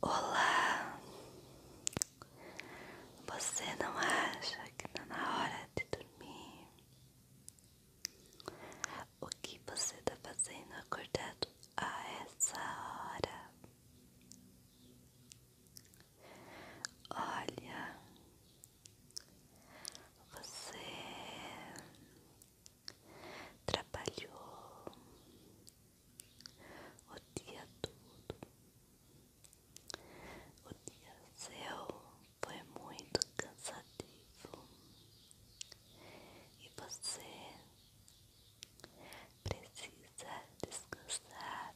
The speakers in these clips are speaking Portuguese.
Olá, você não acha que está na hora de dormir? O que você está fazendo acordado a essa hora? Olha, você trabalhou, o dia todo. O dia céu foi muito cansativo e você precisa descansar.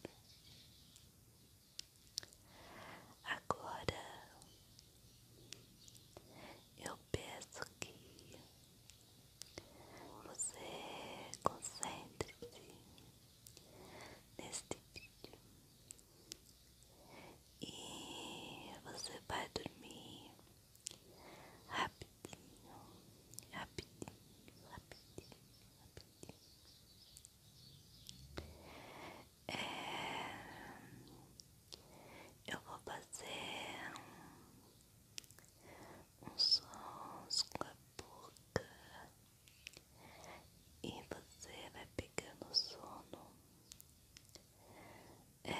Agora eu peço que você concentre-se neste vídeo e você vai dormir rapidinho, rapidinho, rapidinho, rapidinho. É, eu vou fazer uns sons com a boca e você vai pegando sono. É,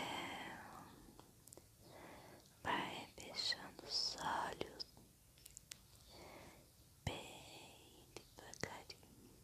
vai fechando os olhos bem devagarinho.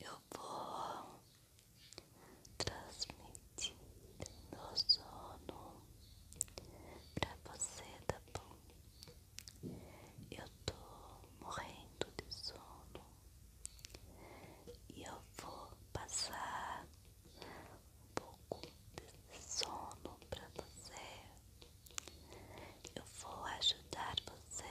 Eu vou transmitindo no sono pra você, tá bom? Eu tô morrendo de sono e eu vou passar um pouco de sono pra você. Eu vou ajudar você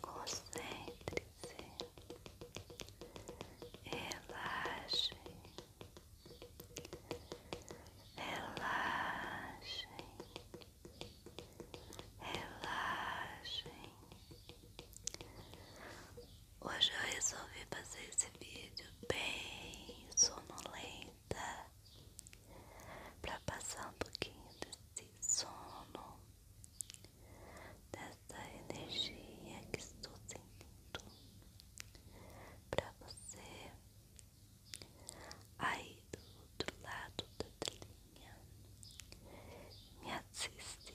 Concentre-se, relaxe, relaxe, relaxe. Hoje eu resolvi fazer esse vídeo bem sonolenta para passar um pouquinho desse sono, dessa energia que estou sentindo para você aí do outro lado da telinha. Me assiste.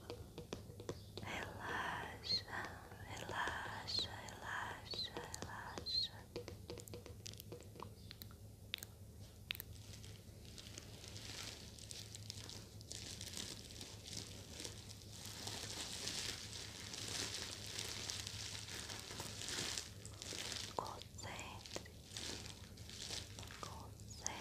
relaxa, relaxa, relaxa, relaxa. Concentre-se, concentre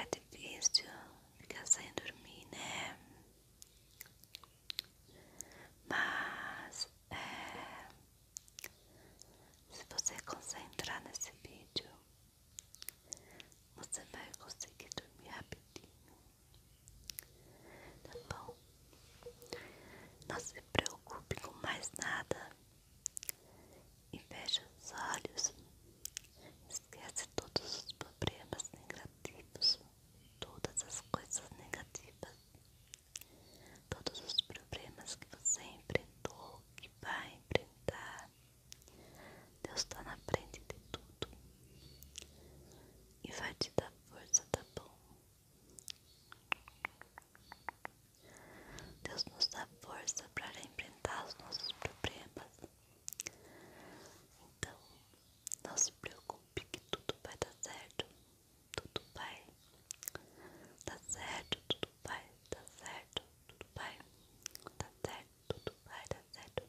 É difícil ficar sem dormir, né? Mas é, se você concentrar nesse vídeo, você vai conseguir dormir rapidinho. Tá bom? Não se preocupe com mais nada. E veja os olhos. Esquece todos os problemas negativos, todas as coisas negativas, todos os problemas que você enfrentou, que vai enfrentar. Deus está na frente de tudo e vai te dar força, tá bom? Deus nos dá força para enfrentar os nossos problemas. Então, não se preocupe que tudo vai dar certo. Tudo vai dar certo, tudo vai dar certo, tudo vai dar certo, tudo vai dar certo. Tudo vai dar certo.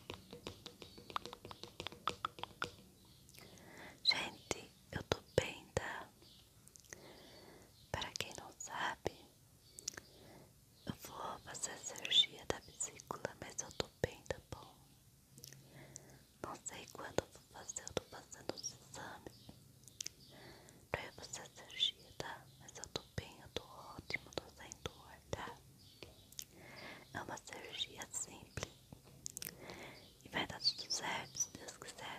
Gente, eu tô bem, tá? Para quem não sabe, eu vou fazer a cirurgia da vesícula, mas eu tô bem, tá bom? Não sei quando eu vou fazer, eu tô fazendo os exames pra eu fazer a cirurgia, tá? Mas eu tô bem, eu tô ótimo, tô sem dor, tá? É uma cirurgia simples. E vai dar tudo certo, se Deus quiser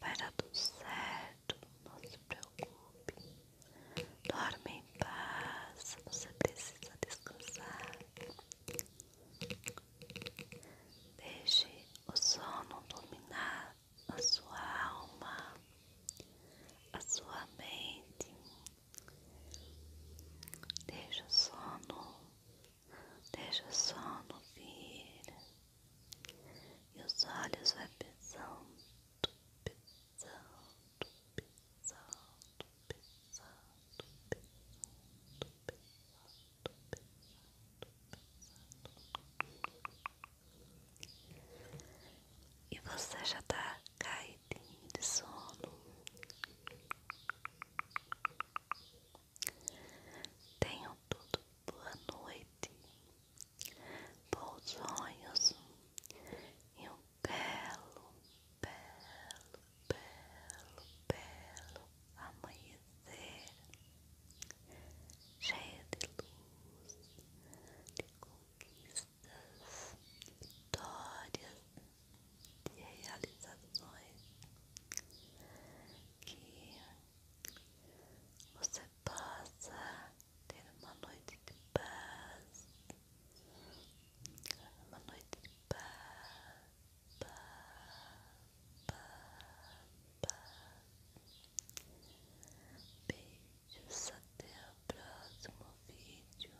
Vai dar tudo certo, não se preocupe. Dorme em paz, você precisa descansar. Deixe o sono dominar a sua alma, a sua mente. deixe o sono, deixe o sono vir. E os olhos vai pesando, pesando, pesando, pesando, pesando, pesando, pesando. pesando, E você já tá caidinho de sono. Tenham tudo boa noite, bons sonhos e um belo, belo, belo, belo amanhecer cheio de luz, de conquistas, vitórias, de realizações que você possa ter uma noite de paz, uma noite de paz, paz, paz, paz. Beijos, até o próximo vídeo.